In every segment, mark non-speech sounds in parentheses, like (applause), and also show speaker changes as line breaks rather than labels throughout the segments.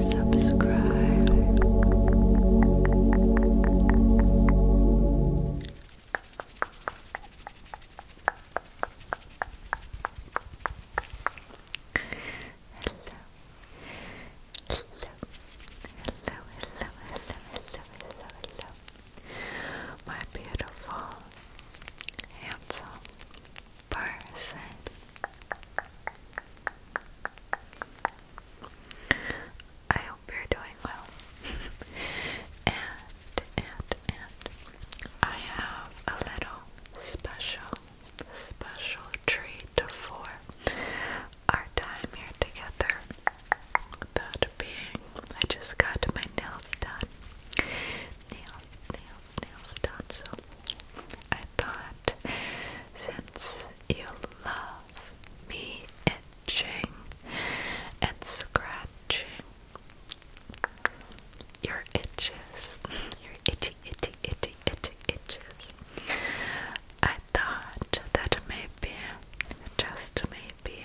Subscribe. Hello. Hello, hello, hello, hello, hello, hello my beautiful, handsome person.
I hope you're doing well. (laughs) and, and, and, I have a little special, special treat for our time here together. That being, I just got my nails done nails, nails, nails done. I thought since you love me itching and scratching your itches, (laughs) your itchy, itchy, itchy, itchy, itches, I thought that maybe, just maybe maybe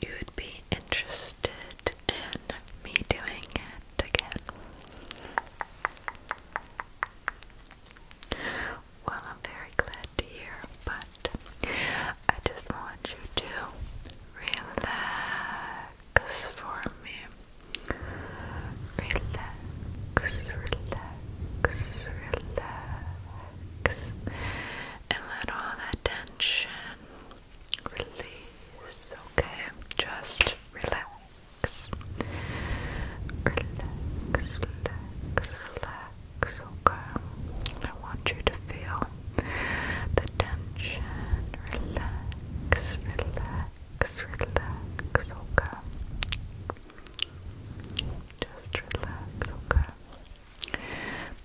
you would be interested in me doing it again. Well, I'm very glad to hear, but I just want you to relax for me. Relax, relax, relax, and let all that tension release, okay? Just relax. Relax, relax, relax, okay? I want you to feel the tension. Relax, relax, relax, okay? Just relax, okay?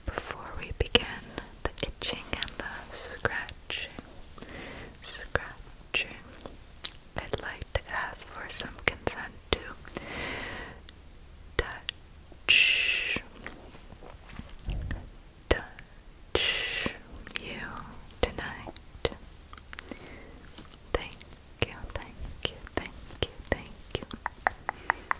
Before we begin the itching and the scratching, scratching, I'd like to ask for some consent to touch, touch you tonight. Thank you, thank you, thank you, thank you.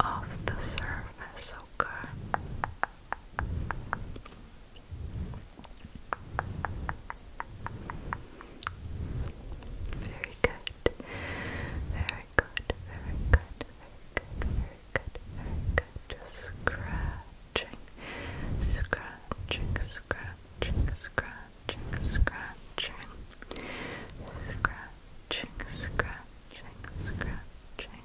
off the surface, okay? Very good. Very good. Very good. Very good. Very good. Very good. Just scratching. Scratching. Scratching. Scratching. Scratching. Scratching scratching, scratch, scratching.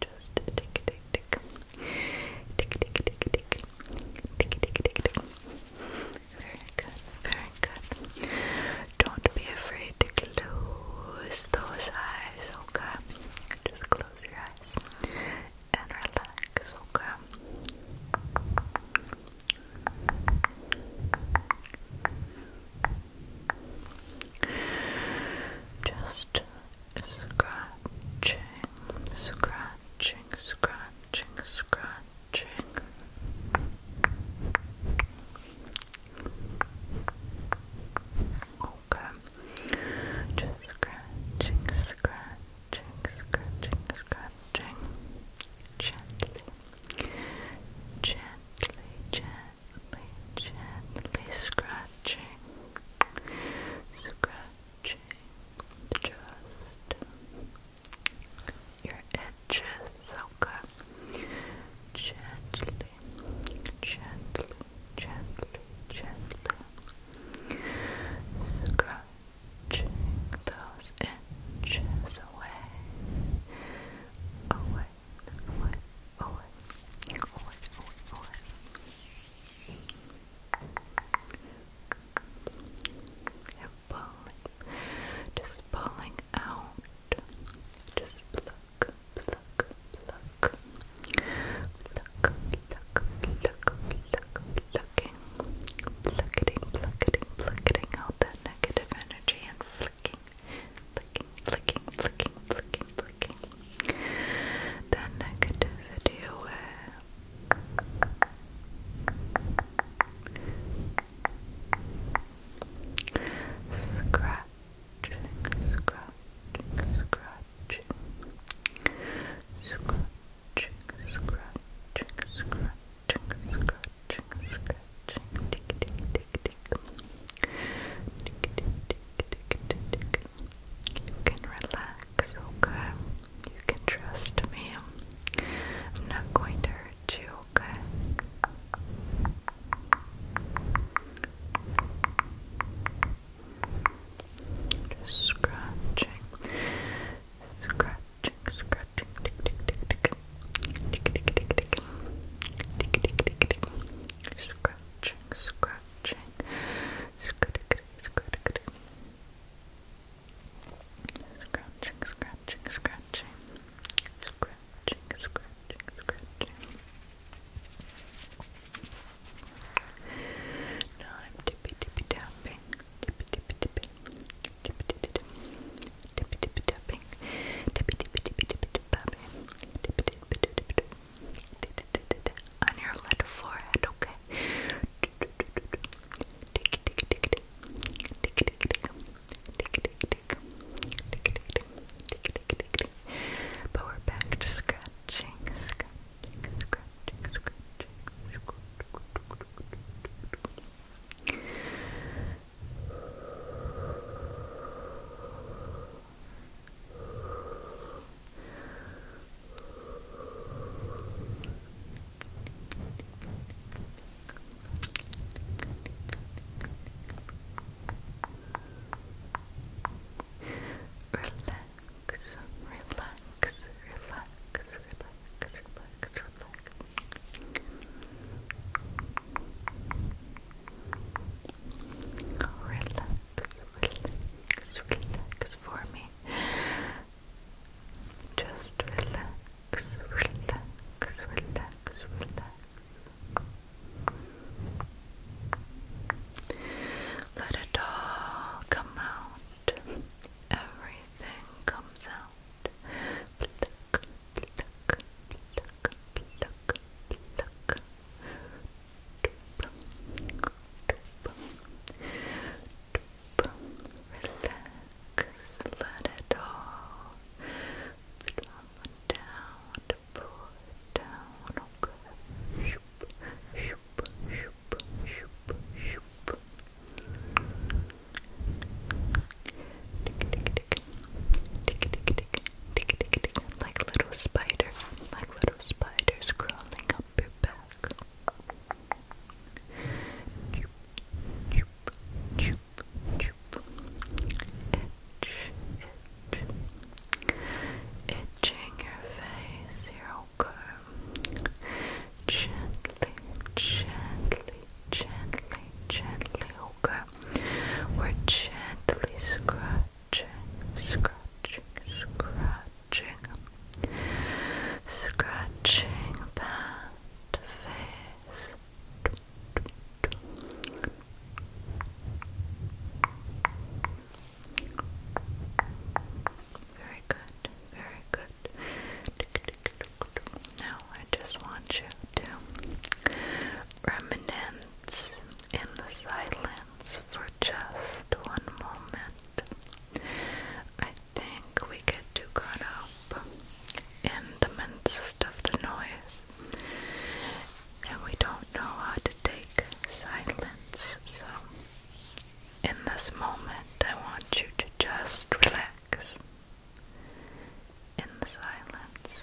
Just tick, tick, tick, tick, tick, tick, tick, tick, tick, tick, tick. Very good, very good. Don't be afraid to close those eyes, okay? Just close your eyes and relax, okay? Just scratching, scratching, scratching, scratching. Okay. Just scratching, scratching, scratching, scratching. Gently. Gently, gently, gently scratching. Scratching just your edges. Okay. Gently, gently, gently, gently scratching those inches away, away, away, away, away, away, pulling, just pulling out, just blow, pluck, pluck, pluck, pluck, pluck, pluck, pluck, plucking, plucketing, plucketing, plucketing out that negative energy and flicking, flicking, flicking, flicking, flicking, flicking, flicking. the away. Scratch, scratch, scratching, scratch, scratching, scratching, scratching, scratching, tick, tick, tick, tick, tick, tick, tick, tick, tick. You can relax, okay? You can trust me. I'm not going to hurt you, okay? Just scratching, scratching, scratching, tick, tick, tick, tick, tick, tick, tick, tick, tick, tick, tick, tick, tick, scratching, scratching, scratching, scratching, scratching, scratching, scratching, scratching, scratching, a scratch. Now I'm tippy tippy tapping, tippy tippy tipping, tippy tippy tippy tippy tapping, tippy tippy tippy tippy tapping, tippy tippy tippy tippy on your left forehead, okay?
But we're back to scratching, scratching, scratching, scratching relax, relax, relax, relax. Relax, relax, relax for me. Just relax, relax, relax, relax, let it all come out. Everything comes out. Relax. Let it all down, pull down, okay. Shoop, shoop, shoop, shoop, shoop. Tick, tick, tick. Tick, tick, tick. Tick, Like little spiders, like little spiders crawling up your back itch, itch, itching your face, you're okay. Gently, gently, gently, gently, okay. We're gently scratching, scratching, scratching, scratching that face, very good, very good. Now I just want you to reminisce in the silence for just one moment. I think we get too caught up
in the midst of the noise silence. And we don't know how to take silence. So, in this moment, I want you to just relax in the silence.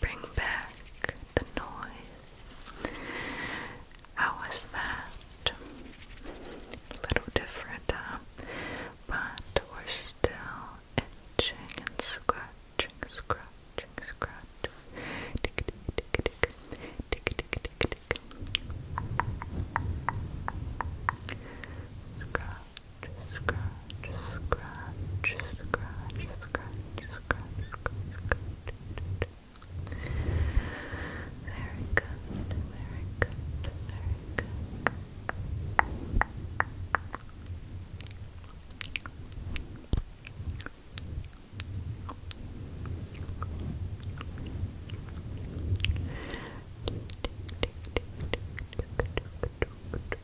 bring back the noise. How was that? A little different, huh? But we're still itching and scratching, scratching, scratching scratch, scratch, scratch, scratch, scratch, scratch. Very good, very good, very good. tick, tick, tick, tick, tick, tick, tick, tick, tick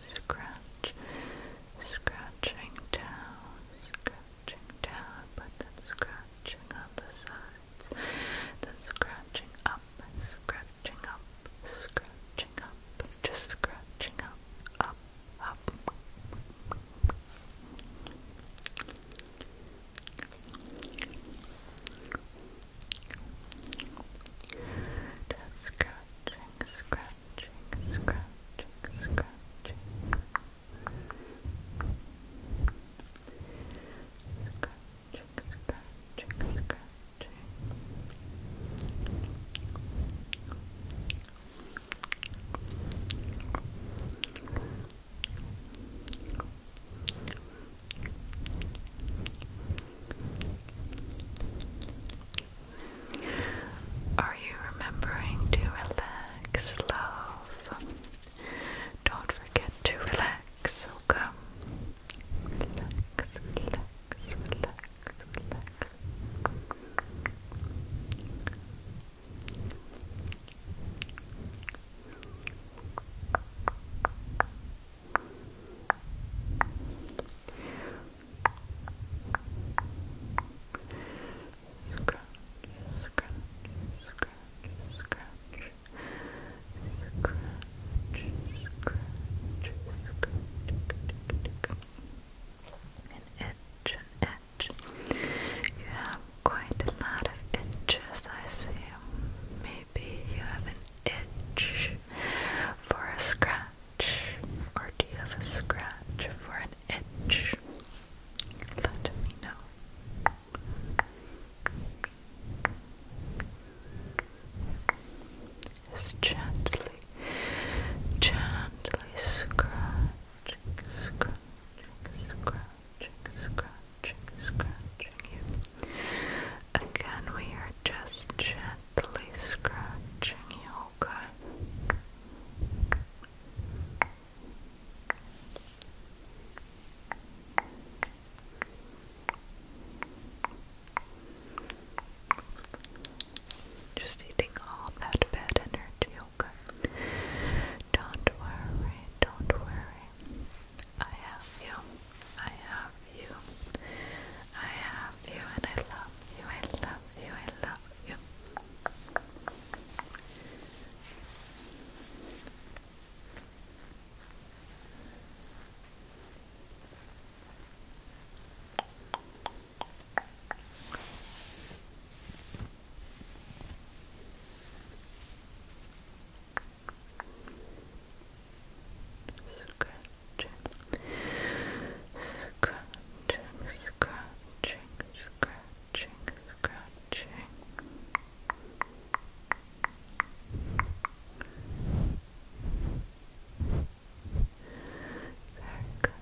Scratch, scratching down, scratching down, but then scratching on the sides, then scratching up, scratching up, scratching up, just scratching up, up, up. Just scratching, scratching, scratching, scratching. Scratching, scratching, scratching. Scratching, are you remembering to relax, love? Don't forget to relax, okay? Relax, relax, relax, relax scratch, scratch, scratch, scratch, an itch, an much. You have quite a lot of itches, I see. Maybe you have an itch for a scratch, or do you have a scratch for an itch? Let me know. Just gently, gently scratch Again, we are just gently scratching you, okay? Just eating all that bad energy, yoga. Don't worry, don't worry. I have you. I have you. I have you and I love you. I love you. I love you. Good scratching, scratching, scratching. Very good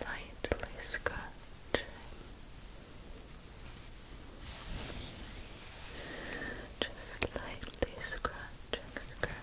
Lightly scratching, just lightly scratching, scratching, scratching.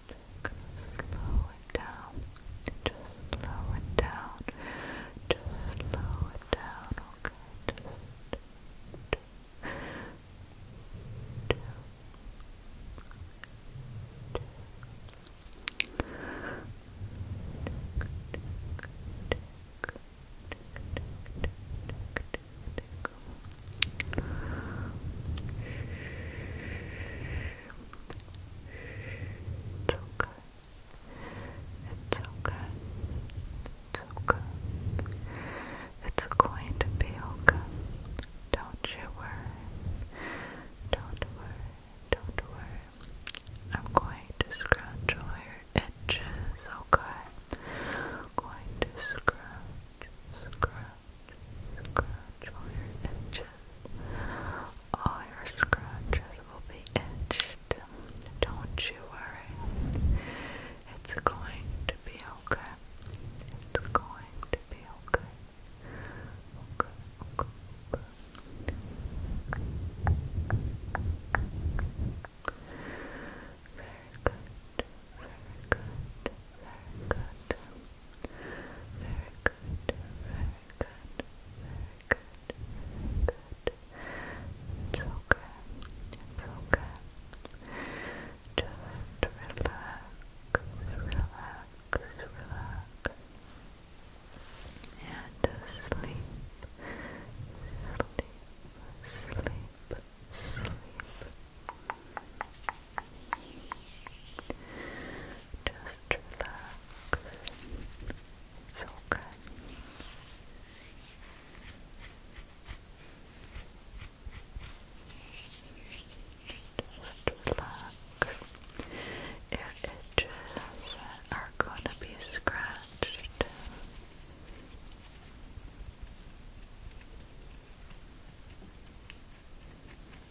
slow it down, just slow it down, just slow it down, okay, it's okay. It's okay. It's okay. It's going to be okay. Don't you worry. Don't worry. Don't worry. I'm going to scratch your itches, okay? going to scratch, scratch, scratch all your itches. All your scratches will be itched. Don't you worry. It's going to be okay. It's going to be okay. Very good, very good, very good. Very good, very good, very good, good. It's okay, it's okay. Just relax, relax, relax. And sleep, sleep, sleep, sleep. Just relax. It's okay. Just relax. Your edges are going to be scratched.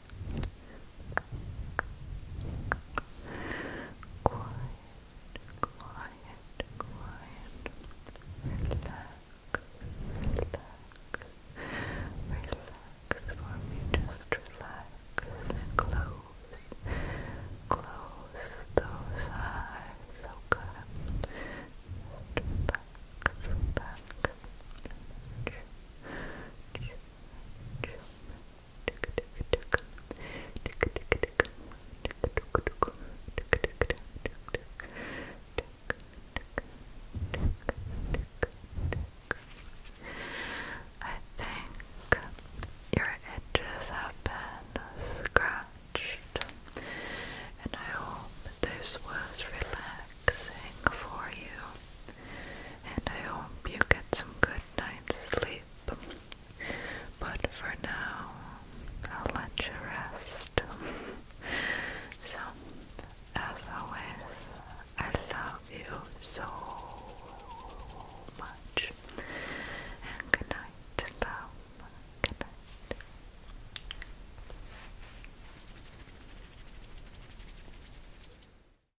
Quiet, quiet, quiet. Relax, relax, relax for me. Just relax and close, close eyes. Okay. Just relax, relax. Chill, chill, chill, I think your edges have been scratched, and I hope this was relaxing for you. And I hope you get some good good night's sleep. But for now, I'll let you rest. (laughs) so, as always, I love you so much. And good love. Good